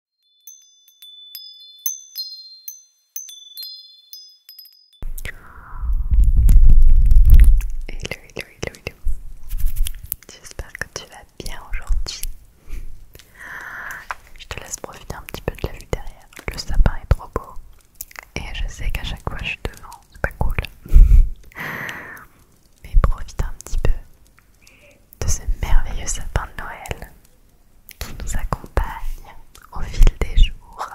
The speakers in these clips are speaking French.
Hello, hello, hello, hello. J'espère que tu vas bien aujourd'hui. Je te laisse profiter un petit peu de la vue derrière. Le sapin est trop beau. Et je sais qu'à chaque fois je suis devant, c'est pas cool. Mais profite un petit peu de ce merveilleux sapin de Noël qui nous accompagne au fil des jours.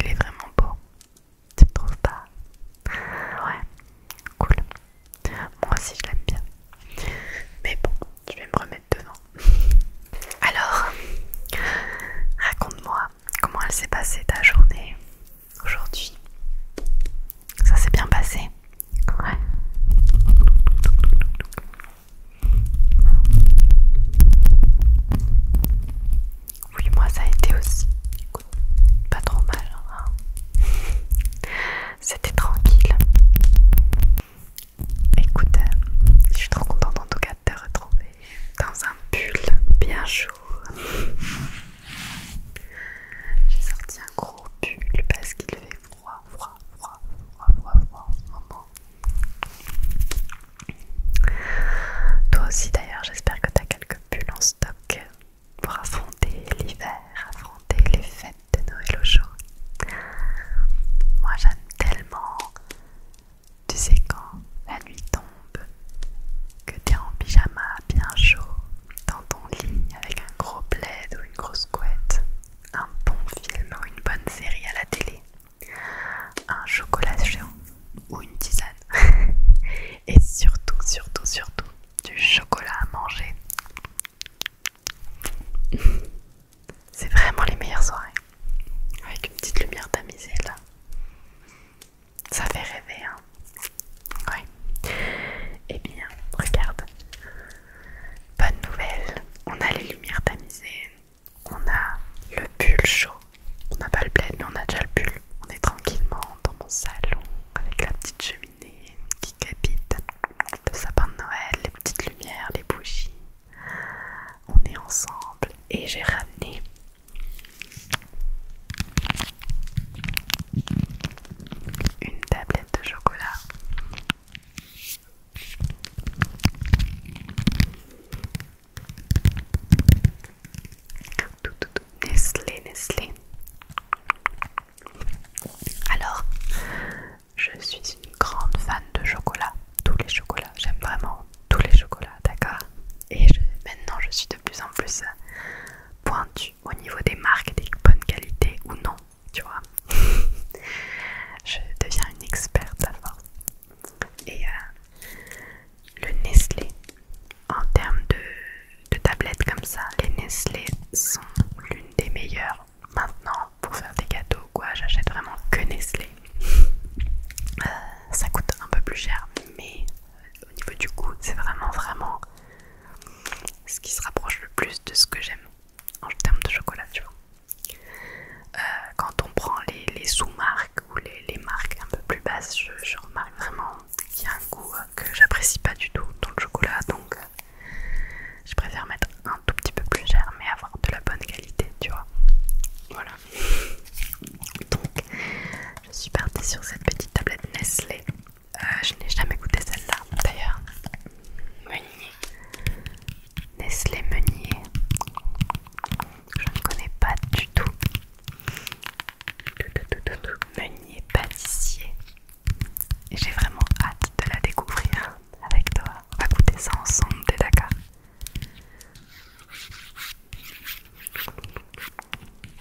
Il est vraiment beau, tu ne trouves pas Ouais, cool. Moi aussi je l'aime bien. Mais bon, je vais me remettre dedans. Alors, raconte-moi comment elle s'est passée ta journée aujourd'hui. Ça s'est bien passé Ouais. Oui, moi ça a été aussi. pas trop mal. Hein. C'était tranquille. Écoute, euh, je suis trop contente en tout cas de te retrouver dans un pull bien chaud. J'ai sorti un gros pull parce qu'il fait froid, froid, froid, froid, froid, froid en ce moment. Toi aussi d'ailleurs, j'espère que tu as quelques pulls en stock pour affronter l'hiver, affronter les fêtes de Noël au chaud. Moi j'aime tellement, tu sais quand la nuit tombe, que t'es en pyjama bien chaud, dans ton lit avec un gros plaid ou une grosse couette, un bon film ou une bonne série à la télé, un chocolat géant ou une tisane, et surtout, surtout, surtout du chocolat à manger. C'est vraiment les meilleures soirées. Avec une petite lumière tamisée là. Ça fait rêver, hein. Ouais. Eh bien, regarde. Bonne nouvelle, on a les lumières tamisées, on a le pull chaud. On n'a pas le bled mais on a déjà le pull. On est tranquillement dans mon salon avec la petite cheminée qui capite, le sapin de Noël, les petites lumières, les bougies. On est ensemble et j'ai ramené une tablette de chocolat. Nestlé, Nestlé. Alors, je suis une grande fan de chocolat. Tous les chocolats, j'aime vraiment tous les chocolats, d'accord Et maintenant, je suis de plus en plus pointue au niveau des marques, des bonnes qualités ou non, tu vois. Je deviens une experte à force. Et euh, le Nestlé, en termes de, tablettes comme ça, les Nestlé sont l'une des meilleures. Maintenant, pour faire des gâteaux quoi, j'achète vraiment que Nestlé. Euh, ça coûte un peu plus cher, mais euh, au niveau du goût, c'est vraiment, vraiment ce qui se rapproche le plus de ce que j'aime en termes de chocolat, tu vois. Euh, quand on prend les, sous-marques ou les, marques un peu plus basses, je, remarque vraiment qu'il y a un goût euh, que j'apprécie pas du tout dans le chocolat, donc euh, je préfère mettre un tout petit peu plus cher, mais avoir de la bonne qualité, tu vois. Voilà. Donc, je suis partie sur cette petite tablette Nestlé ah, je n'ai jamais goûté celle-là d'ailleurs. Meunier. Nestlé Meunier. Je ne connais pas du tout. Meunier pâtissier. j'ai vraiment hâte de la découvrir avec toi. On va goûter ça ensemble, t'es d'accord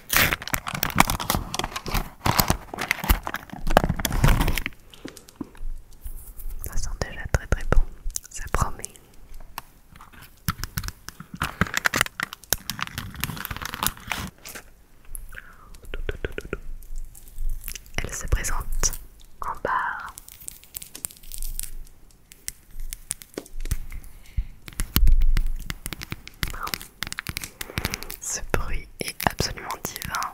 Ça sent déjà très très bon, ça promet. Elle se présente en barre. Ce bruit est absolument divin.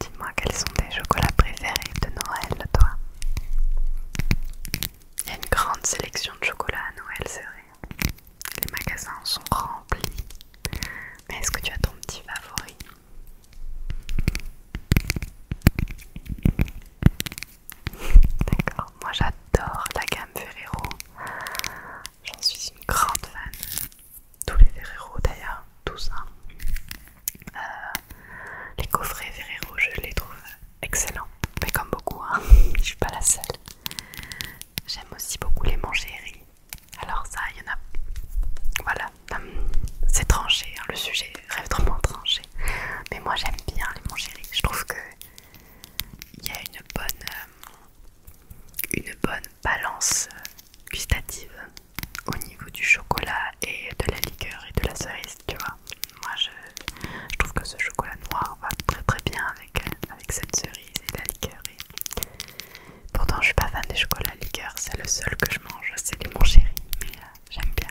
Dis-moi quels sont tes chocolats préférés de Noël, toi Il y a une grande sélection de chocolats à Noël, c'est vrai. Les magasins sont remplis. Mais est-ce que tu as ton petit favori D'accord, moi j'adore la gamme Ferrero. J'en suis une grande fan. Tous les Ferrero d'ailleurs, tous. Hein. Euh, les coffrets Ferrero, je les trouve excellents. Mais comme beaucoup, hein. je suis pas la seule. J'aime aussi beaucoup les Mangeries. Alors ça, il y en a... Voilà, hum, c'est tranché, hein. le sujet rêve vraiment tranché. Mais moi j'aime bien les Chéri. Je trouve que il y a une bonne, euh, une bonne balance euh, gustative au niveau du chocolat et de la liqueur et de la cerise, tu vois. Moi je, trouve que ce chocolat noir va très très bien avec, euh, avec cette cerise et la liqueur. Et... Pourtant je suis pas fan des chocolats liqueur, c'est le seul que je mange, c'est les Chéri, mais j'aime bien.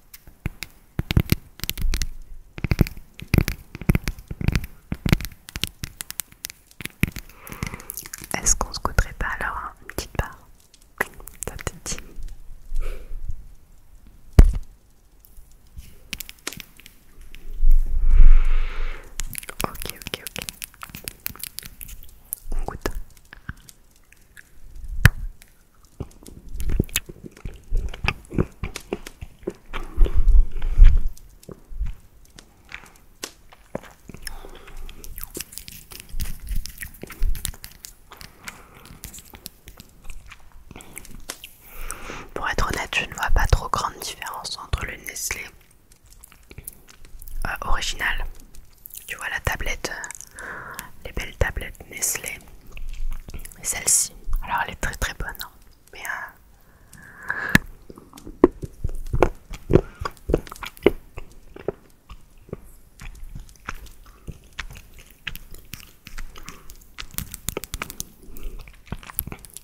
Est-ce qu'on se goûterait pas alors une petite part Ça te dit Ok, ok, ok. On goûte. Pour être honnête, je ne vois pas trop grande différence entre le Nestlé euh, original. Tu vois la tablette, euh, les belles tablettes Nestlé celle-ci, alors elle est très très bonne, hein. mais euh,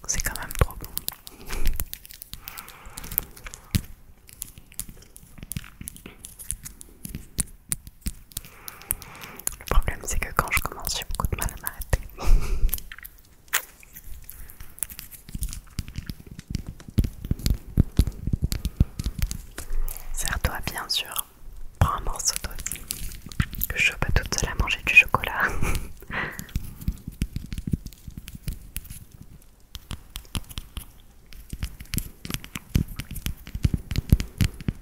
c'est quand même trop bon. Le problème c'est que quand je commence j'ai beaucoup de mal à m'arrêter. Serre-toi bien sûr, prends un morceau d'eau. Que je peux pas toute seule à manger du chocolat.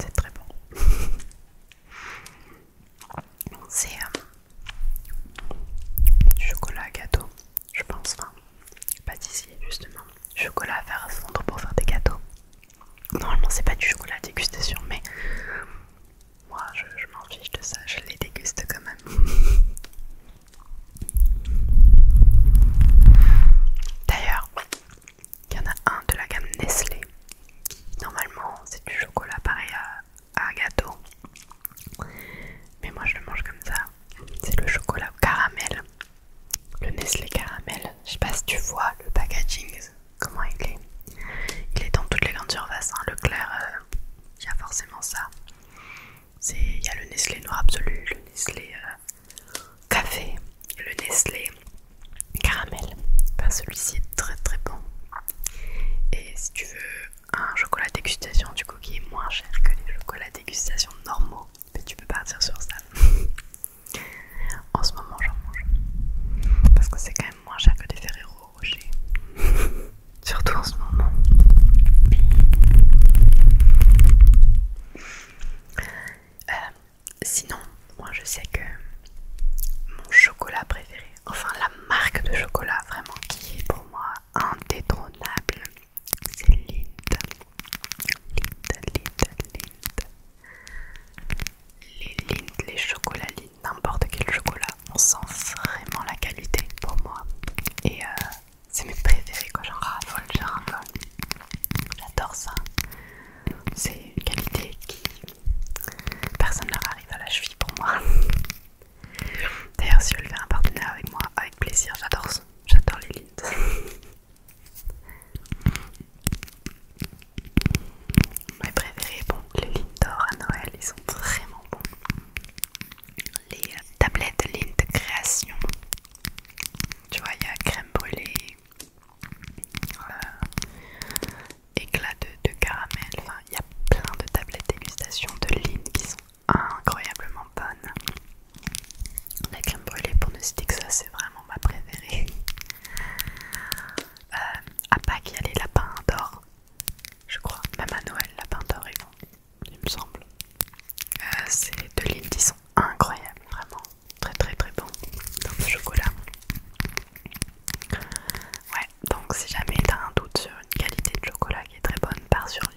C'est très bon. C'est du euh, chocolat à gâteau, je pense. Enfin, d'ici justement. Chocolat à faire fondre pour faire des gâteaux. Normalement, c'est pas du chocolat à dégustation, mais moi je, je m'en fiche de ça, je les déguste quand même. D'ailleurs, il y en a un de la gamme Nestlé. Normalement, c'est du chocolat pareil à, gâteau. Mais moi, je le mange comme ça. C'est le chocolat au caramel. Le Nestlé caramel. Je sais pas si tu vois le packaging, comment il est. Il est dans toutes les grandes surfaces. Hein. Le clair, euh, il y a forcément ça. Il y a le Nestlé noir absolu, le Nestlé euh, Café, le Nestlé, caramel. Celui-ci est très très bon. Et si tu veux un chocolat dégustation, du coup, qui est moins cher que les chocolats dégustation normaux, tu peux partir sur ça. en ce moment, j'en mange. Parce que c'est quand même moins cher que des Ferrero Rocher. Surtout en ce moment. Euh, sinon, moi je sais que mon chocolat préféré, enfin la marque de chocolat vraiment qui est pour moi indétrônable, c'est Lind. Lind, Lindt, Les Lind, les chocolats n'importe quel chocolat, on sent vraiment la qualité pour moi. Et euh, c'est mes préférés quoi, j'en raffole, j'en raffole. J'adore ça. C'est une qualité qui. Personne n'arrive arrive à la cheville pour moi. D'ailleurs, si voulez faire un partenaire avec moi, avec plaisir, j'adore ça. J'adore les lint. Mes préférés, bon, les lint d'or à Noël, ils sont vraiment bons. Les tablettes lint création tu vois, il y a crème brûlée, éclats euh, éclat de, caramel, enfin, il y a plein de tablettes dégustation de Lynn qui sont incroyablement bonnes. La crème brûlée, pour ne citer ça, c'est vraiment ma préférée. Euh, à Pâques, il y a les lapins d'or, je crois. Même à Noël, lapins d'or, ils vont il me semble. ces euh, C'est de ils sont incroyables, vraiment très très très bon dans le chocolat. Ouais, donc si jamais t'as un doute sur une qualité de chocolat qui est très bonne, pars sur l'Inde.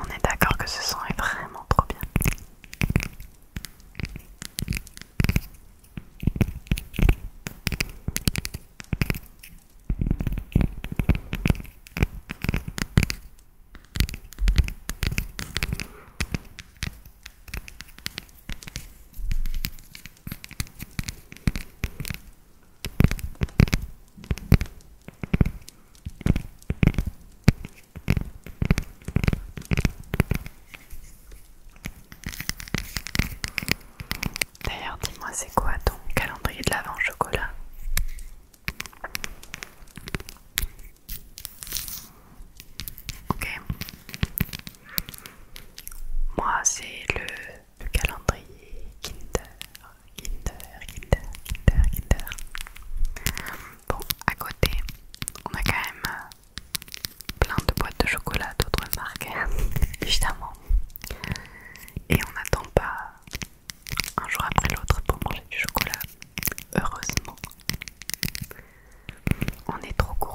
On est d'accord que ce son est vraiment trop bien. D'ailleurs, dis-moi, c'est quoi ton calendrier de l'avant chocolat Ok. Moi, c'est le, calendrier Kinder, Kinder, Kinder, Kinder, Kinder. Bon, à côté, on a quand même plein de boîtes de chocolat d'autres marques, évidemment. Et on n'attend pas un jour après l'autre pour manger du chocolat, heureusement. On est trop gourmand.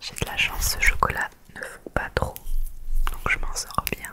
J'ai de la chance, ce chocolat ne fout pas trop, donc je m'en sors bien.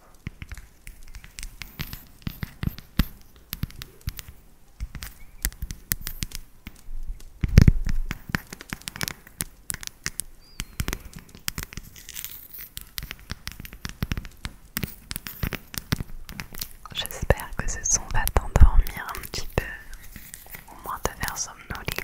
J'espère que ce son va t'endormir un petit peu, au moins te faire somnoler.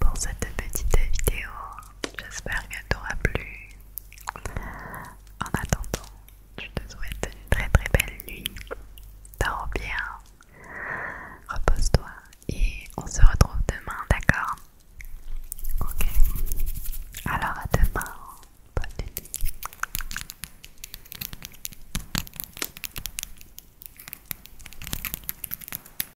pour cette petite vidéo. J'espère qu'elle t'aura plu. En attendant, je te souhaite une très très belle nuit. Dors bien, repose-toi et on se retrouve demain, d'accord Ok. Alors à demain. Bonne nuit.